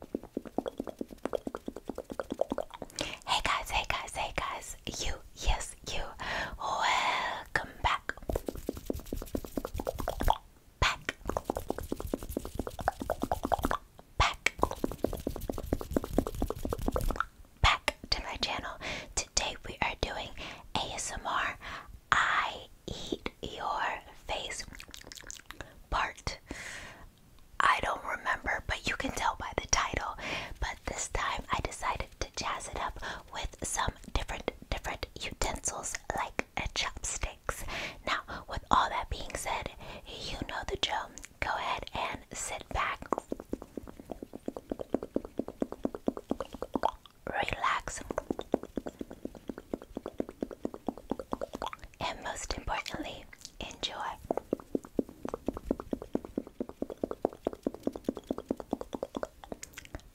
Hey guys, hey guys, hey guys, you, yes, you, welcome back. Back. Back. Back to my channel. Today we are doing ASMR I Eat Your Face Part I don't remember, but you can tell by the title. But this time I decided to jazz it up with some different different utensils like chopsticks. Now, with all that being said, you know the joke. Go ahead and sit back. Relax and most importantly, enjoy.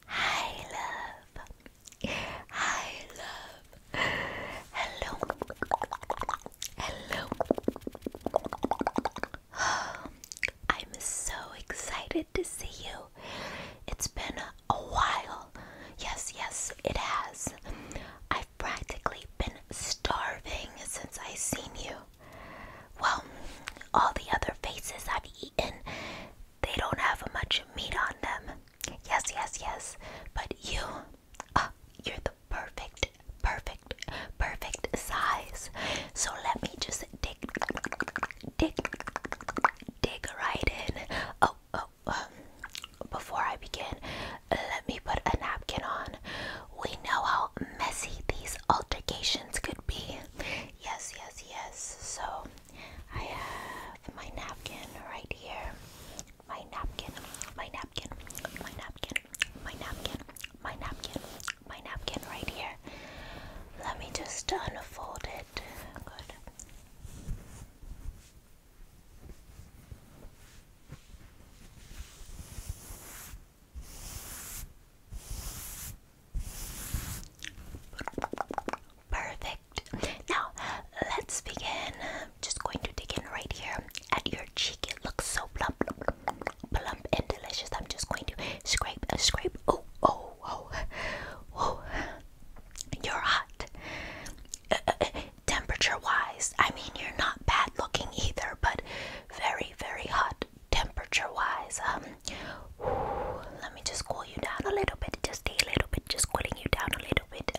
Hi, love. Hi, love. Hello. Hello. I'm so excited to see you. It's been a while. Yes, yes, it has. I've practically been starving since I seen you. Well, all the other faces I've eaten, they don't have much meat on them. Yes, yes, yes. But you, uh, you're the perfect, perfect, perfect size. So let me just dig, dig, dig right in. Oh, oh, before I begin, let me put a napkin on. We know how messy these altercations could be. Yes, yes, yes. So I have my napkin right here. My napkin, my napkin, my napkin, my napkin, my napkin, my napkin right here. Let me just unfold it. Good. Perfect. Now let's begin. I'm just going to dig in right here at your cheek. It looks so plump, plump and delicious. I'm just going to scrape, uh, scrape. Oh, oh, oh, oh! You're hot temperature wise, I mean, you're not bad looking either, but very, very hot temperature wise. Um, let me just cool you down a little bit, just a little bit, just cooling you down a little bit.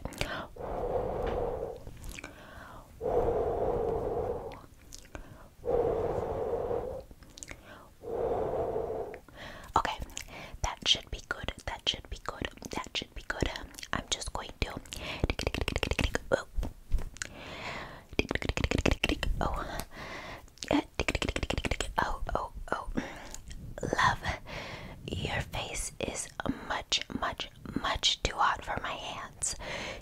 Okay, that should be good. That should be good. That should be good. I'm just going to. Oh. Oh. Oh, Love, your face is much, much, much too hot for my hands.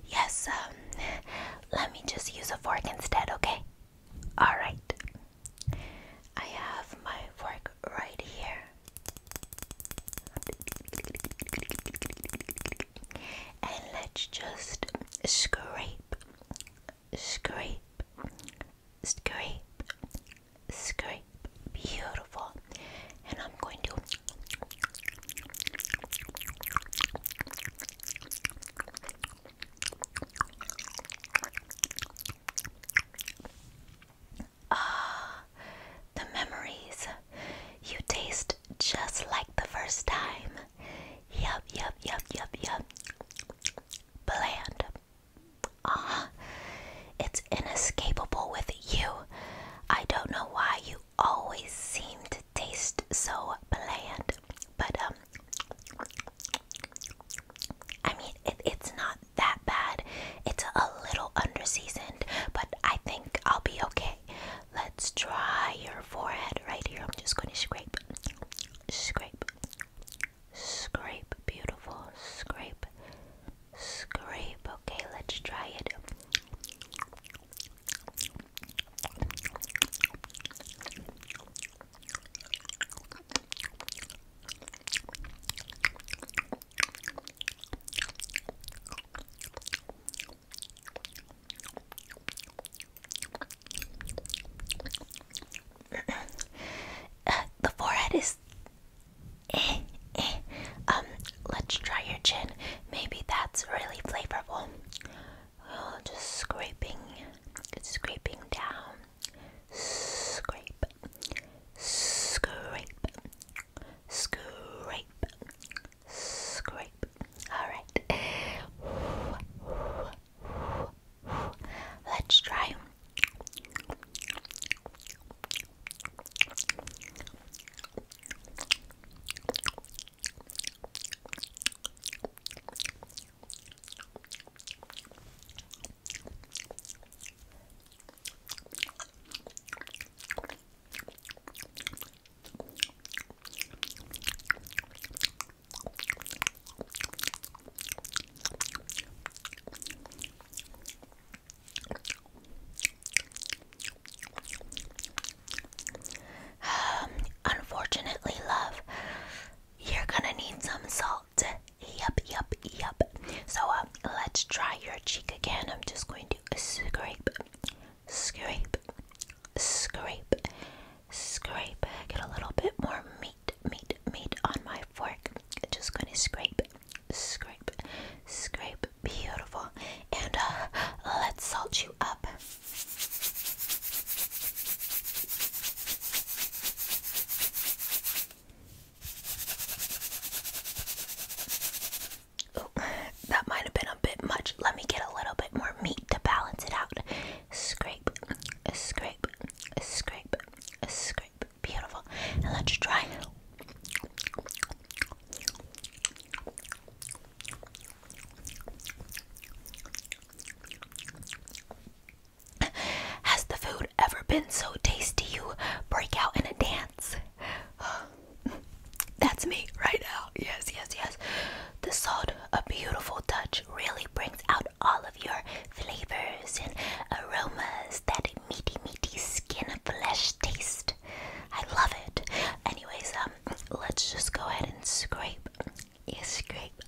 Yes, um, let me just use a fork instead, okay? Alright. I have my fork right here. And let's just scrape, scrape, scrape, scrape. Beautiful. And I'm going to. Ah, the memories. You taste just like the first time. Yup, yup, yup, yup, yup. Bland. Ah, it's inescapable with you. I don't know why you always seem to taste so bland, but um, I mean it's not that bad. It's a little underseasoned, but I think I'll be okay. Let's try your forehead right here. I'm just going to scrape, scrape, scrape. Beautiful. Scrape, scrape. Okay, let's try it. the forehead is eh, eh. Um, let's try your chin. Maybe that's really flavorful. Oh, just scraping, scraping down scrape, scrape, scrape, scrape. Alright. Let's try. Um, unfortunately, love, you're gonna need some salt salt. Yup, yup, yup. So uh, let's try your cheek again. I'm just going to scrape, scrape, scrape, scrape. Get a little bit more meat, meat, meat on my fork. Just going to scrape, scrape, scrape. Beautiful. And uh, let's salt you up. Oh, that might have been a bit much. Let me get a little bit more meat to balance it out. Scrape, scrape, scrape, scrape. Beautiful. let's try. Has the food ever been so tasty you break out in a dance. That's me right now. Yes, yes, yes. The salt, a beautiful touch, really brings out all of your flavors and aromas. That meaty, meaty skin and flesh taste. I love it. Anyways, um, let's just go ahead and scrape, yeah, scrape,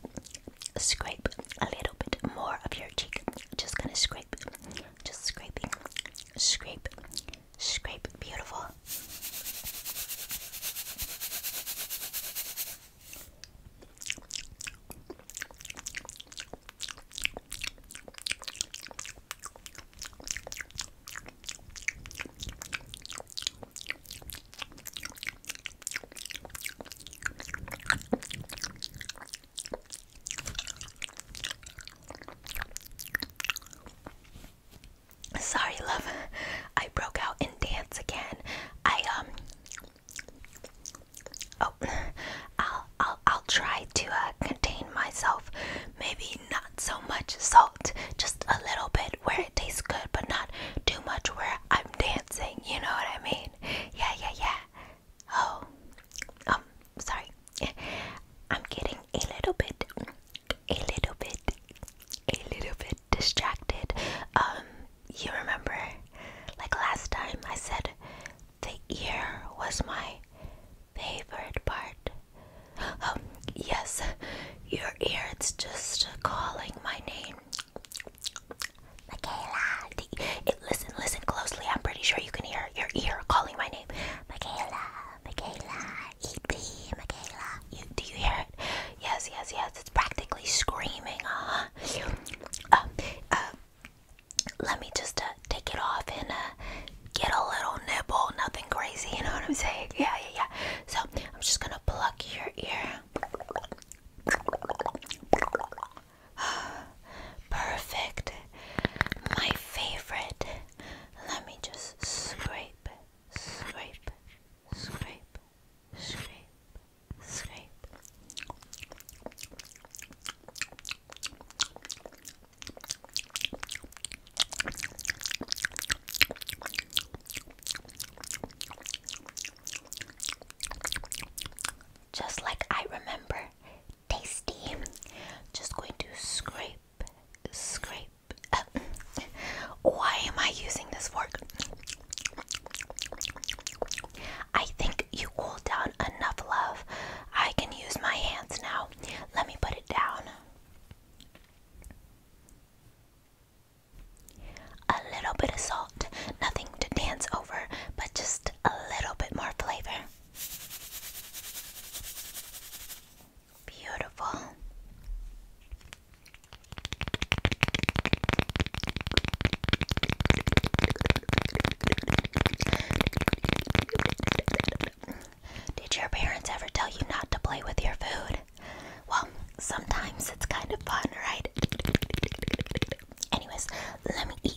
scrape a little bit more of your cheek. Just gonna scrape scrape, just scraping, scrape, scrape, beautiful. Sorry, love. I broke out in dance again. I um. Oh, I'll I'll I'll try to uh, contain myself. Maybe not so much salt, just a little bit where it tastes good, but not too much where I'm dancing. You know what I mean? Yeah, yeah, yeah. Oh, um, sorry. I'm getting a little bit, a little bit, a little bit distracted. Um, you remember, like last time, I said the ear was my favorite part. Um, yes, your ear, it's just calling my name. Michaela. listen, listen closely. I'm pretty sure you can hear your ear calling my name. Michaela, Michaela, EP, Michaela. do you hear it? Yes, yes, yes. It's practically screaming. huh. Um, um, let me just uh, take it off and uh, get a little nibble. Nothing crazy. You know what I'm saying? Yeah, yeah, yeah. So I'm just gonna pluck your ear. Perfect. My favorite. Let me just scrape, scrape, scrape, scrape, scrape. Just like I remember tasty. Just going to scrape, scrape. why am I using this fork? I think you cooled down enough, love. I can use my hands now. Let me put it down. A little bit of salt, nothing to dance over, but just a little bit more flavor. Beautiful. Did your parents ever tell you not to play with your food? Well, sometimes it's kind of fun, right? Anyways, let me eat.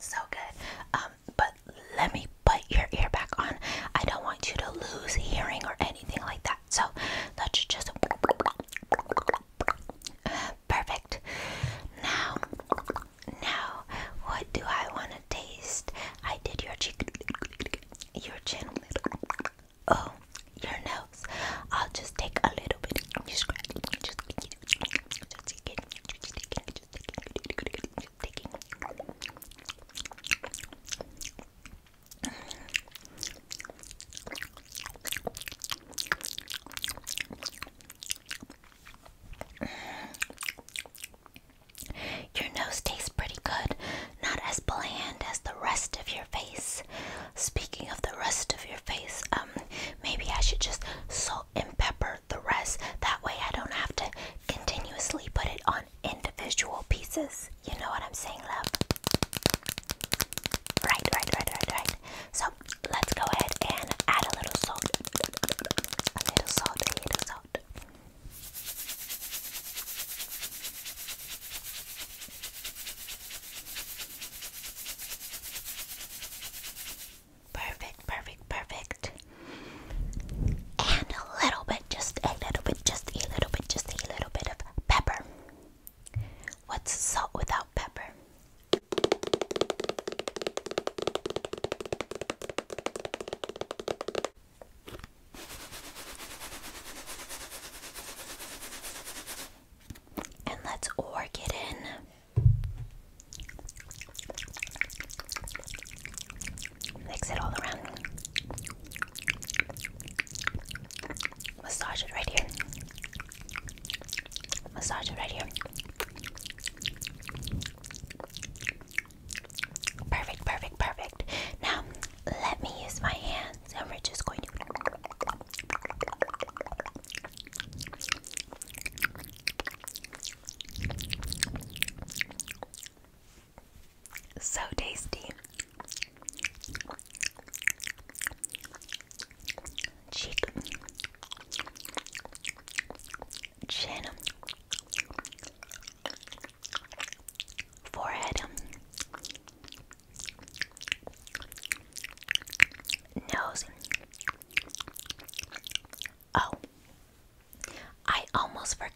so good. Um, but let me put your ear back on. I don't want you to lose hearing or anything like that. So let's just perfect. Now, now, what do I want to taste? I did your cheek your chin Oh, your nose. I'll just take a little bit. Your nose tastes pretty good, not as bland as the rest of your face. Speaking of the rest of your face, um, maybe I should just salt and pepper the rest. That way I don't have to continuously put it on individual pieces. You know what I'm saying, love? Right, right, right, right, right. So let's go ahead and add a little salt. A little salt, a little salt. Perfect, perfect, perfect. And a little bit, just a little bit, just a little bit, just a little bit of pepper. What's salt without pepper? And let's org it in. Mix it all around. Massage it right here. Massage it right here. Perfect, perfect, perfect. Now, let me use my hands and we're just going to. So tasty. Cheek, chin, forehead, nose. Oh, I almost forgot.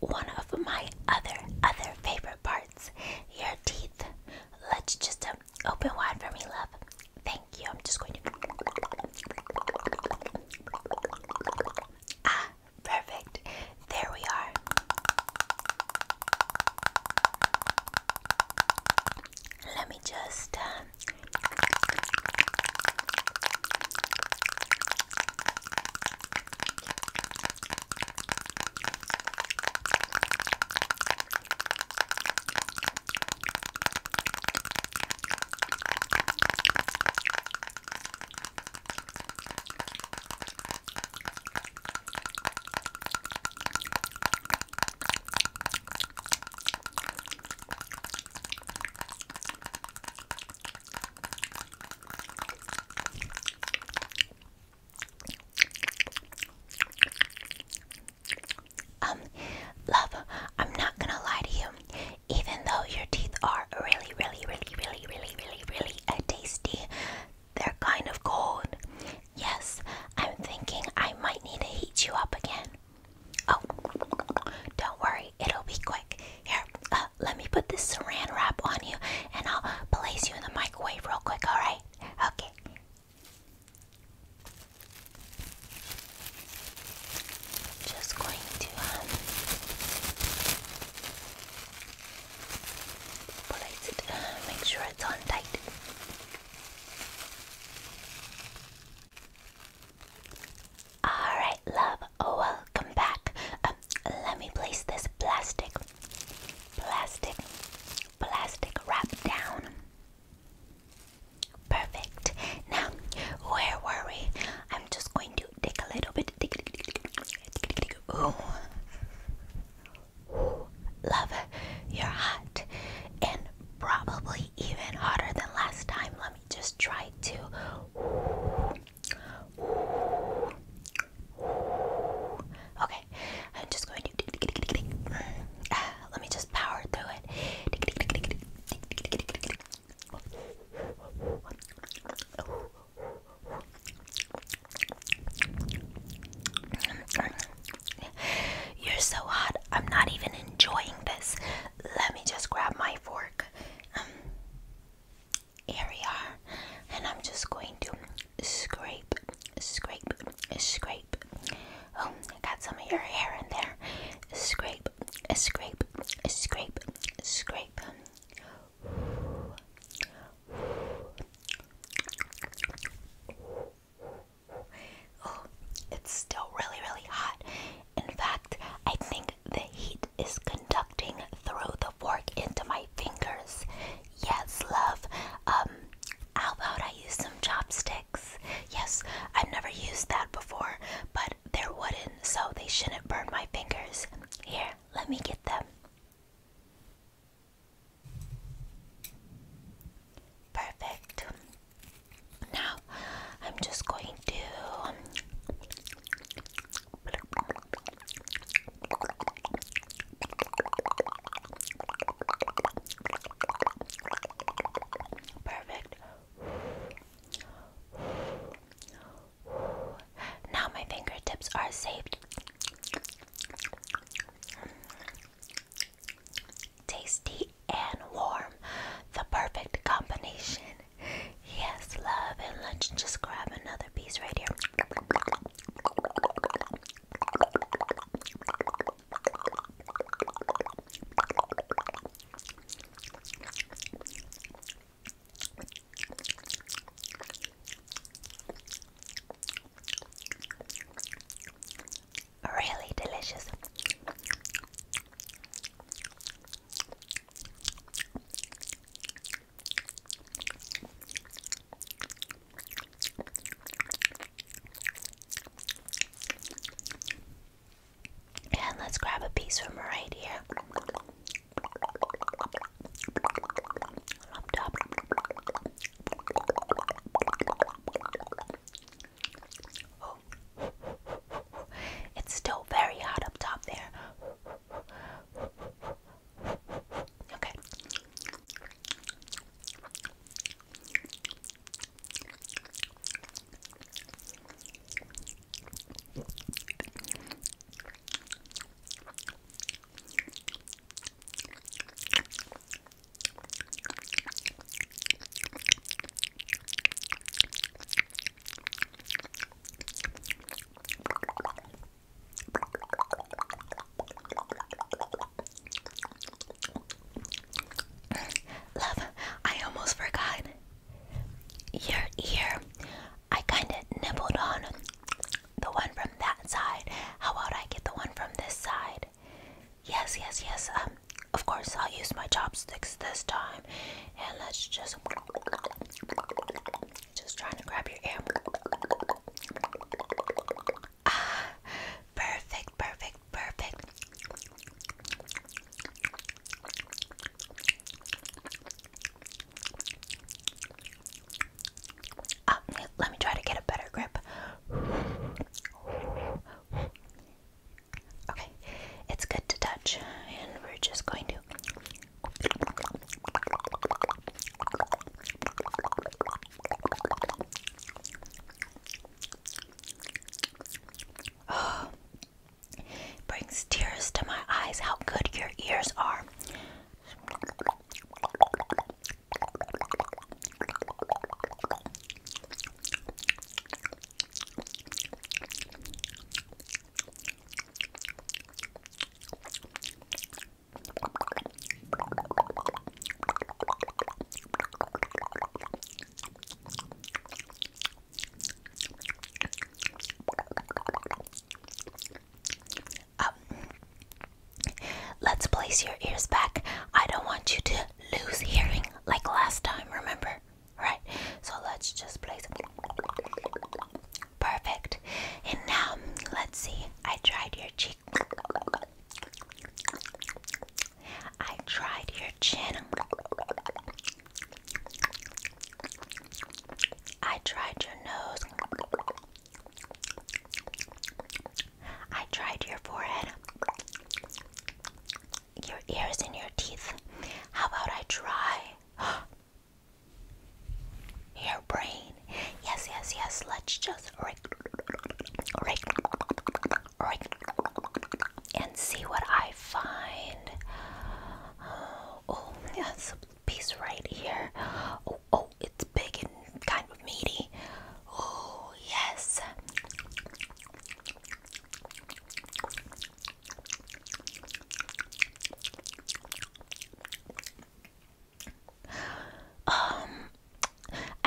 One of my other other favorite parts, your teeth. Let's just um, open wide for me, love. Thank you. I'm just going to Ah, perfect. There we are. Let me just. Uh, um, love, I'm not gonna lie to you even though your teeth are really, really, really, really, really, really, really uh, tasty, they're kind of cold. Yes, I'm thinking I might need to heat you up again. Oh, don't worry, it'll be quick. Here, uh, let me put this saran wrap on you and I'll place you in the microwave real quick, alright? Okay. Just going to um, place it, uh, make sure it's on tight. Alright, love, oh, welcome back. Um, let me place this plastic, plastic, plastic wrap down. Perfect. Now, where were we? I'm just going to to take a little bit. Ooh, love, you're hot, and probably even hotter than last time. Let me just try to. Okay, I'm just going to. Uh, let me just power through it. You're so hot. I'm not even enjoying this. Let me just grab my fork. Um, here we are. And I'm just going to scrape, scrape, scrape. Oh, I got some of your hair in there. Scrape, scrape, scrape, scrape. Oh, it's still really, really hot. In fact, I think the heat is conducting through the fork into my fingers. Yes, love. Um, how about I use some chopsticks? Yes, I've never used that before, but they're wooden, so they shouldn't burn my fingers. Here, let me get them. Perfect. Now, I'm just going to. Perfect. Now my fingertips are saved. Tasty and warm, the perfect combination. Yes, love and lunch. Just grab another piece right here. Really delicious. And let's grab a piece from right here. Oh. It's still very hot up top there. Okay. Love, I almost forgot your ear. I kind of nibbled on the one from that side. How about I get the one from this side? Yes, yes, yes. Um, of course, I'll use my chopsticks this time. And let's just. Just trying to grab your ear. Ah, perfect, perfect, perfect. Oh, let me try to get a better grip. Okay, it's good to touch, and we're just going to brings tears to my eyes how good your ears are. Um, let's place your ears back. I don't want you to lose hearing like last time, remember? Right? So let's just place. Perfect. And now, let's see. I tried your cheek. I tried your chin. I tried your nose. I tried your forehead, your ears, and your teeth. How about I try your brain? Yes, yes, yes. Let's just and see what I find. Oh, that's piece right here. Oh, oh, it's big and kind of meaty. Oh, yes. Um, I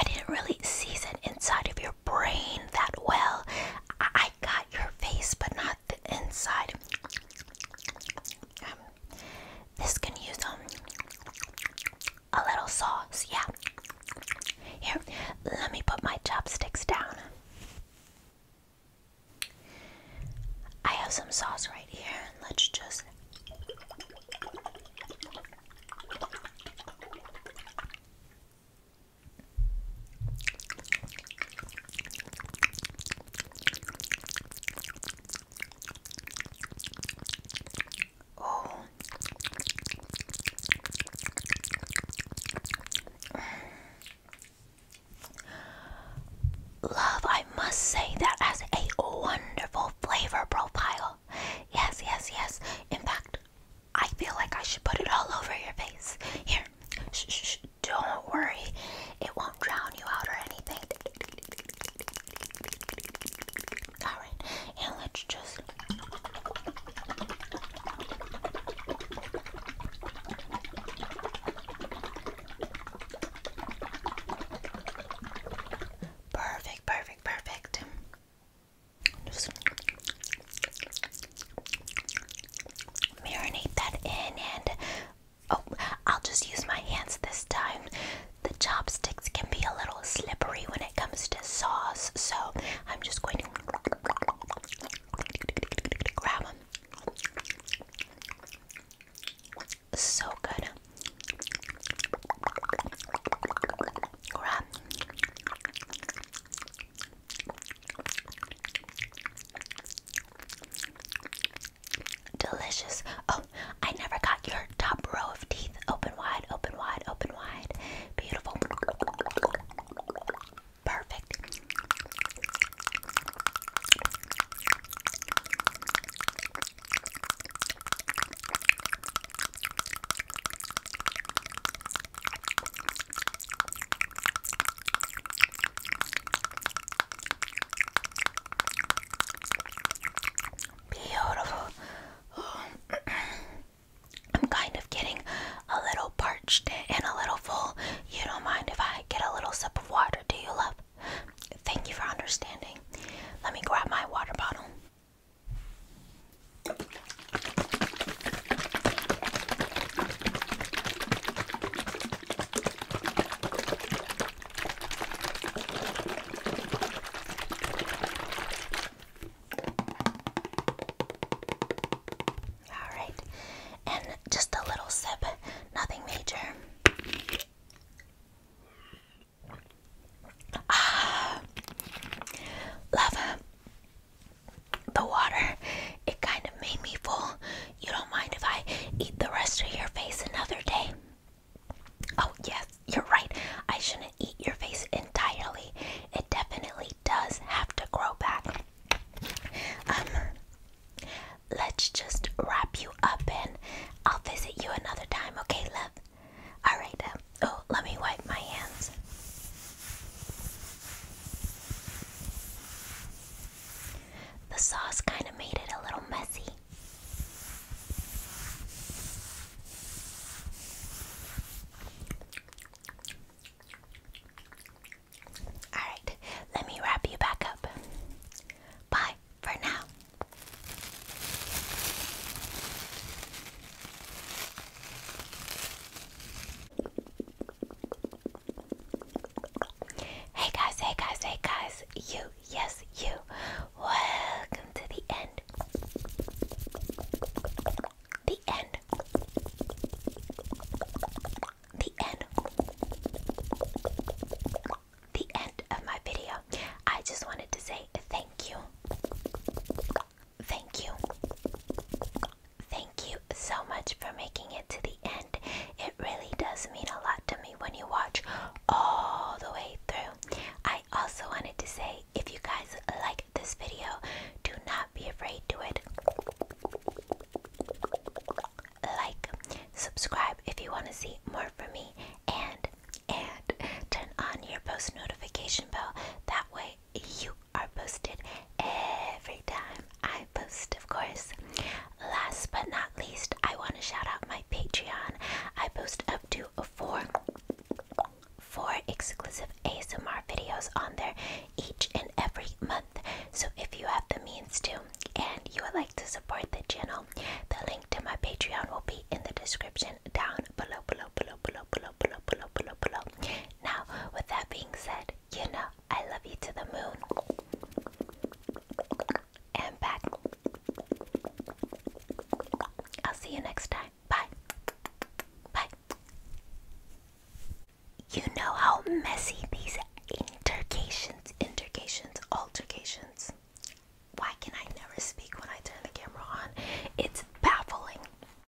didn't really season inside of your brain that well. I I got your face, but not the inside. Um, this can use um, a little sauce, yeah. Here, let me put my chopsticks down. I have some sauce right here, and let's just. Oh. Love, I must say that has a wonderful flavor profile. Yes, yes, yes. In fact, I feel like I should put it all over your face. Here, shh, don't worry, it won't drown you out or anything. Alright, and let's just. Perfect, perfect, perfect marinate that in and oh, I'll just use my hands this time. The chopsticks can be a little slippery when it comes to sauce, so I'm just going to grab them. So good. Grab. Delicious. Oh, I never got your top row of teeth. Open wide, open wide, open wide. Beautiful. Perfect. Beautiful. I'm kind of getting a little parched and a little full. You don't mind if I get a little sip of water, do you, love? Thank you for understanding. Let me grab my water bottle. All right, and just a little sip, nothing major. Ah, love the water, it kind of made me full. You don't mind if I eat the rest of your face another day? Oh, yes, you're right. I shouldn't eat your face entirely. It definitely does have to grow back. Um, let's just wrap you up and I'll visit you another time, okay, love? Alright, um, oh, let me wipe my hands. The sauce kind of made it a little messy. Alright, let me wrap you back up. Bye for now. Hey guys, hey guys, hey guys, you, yes, you. Welcome to the end. The end. The end. The end of my video. I just wanted to say thank you. Thank you thank you so much for making it to the end. It really does mean a lot to me when you watch all the way through. I also wanted to say if you guys like this video, do not be afraid to it. Like, subscribe if you want to see more from me, and and turn on your post notification bell. That way you are posted every time I post, of course. Last but not least, I want to shout out my Patreon. I post up to four four exclusive ASMR videos on there each and every month. So if you have the means to and you would like to support the channel, the link to my Patreon will be in the description down below below below below below now, with that being said, you know I love you to the moon and back. I'll see you next time. Bye. Bye. You know how messy these intercations, intercations, altercations. Why can I never speak when I turn the camera on? It's baffling.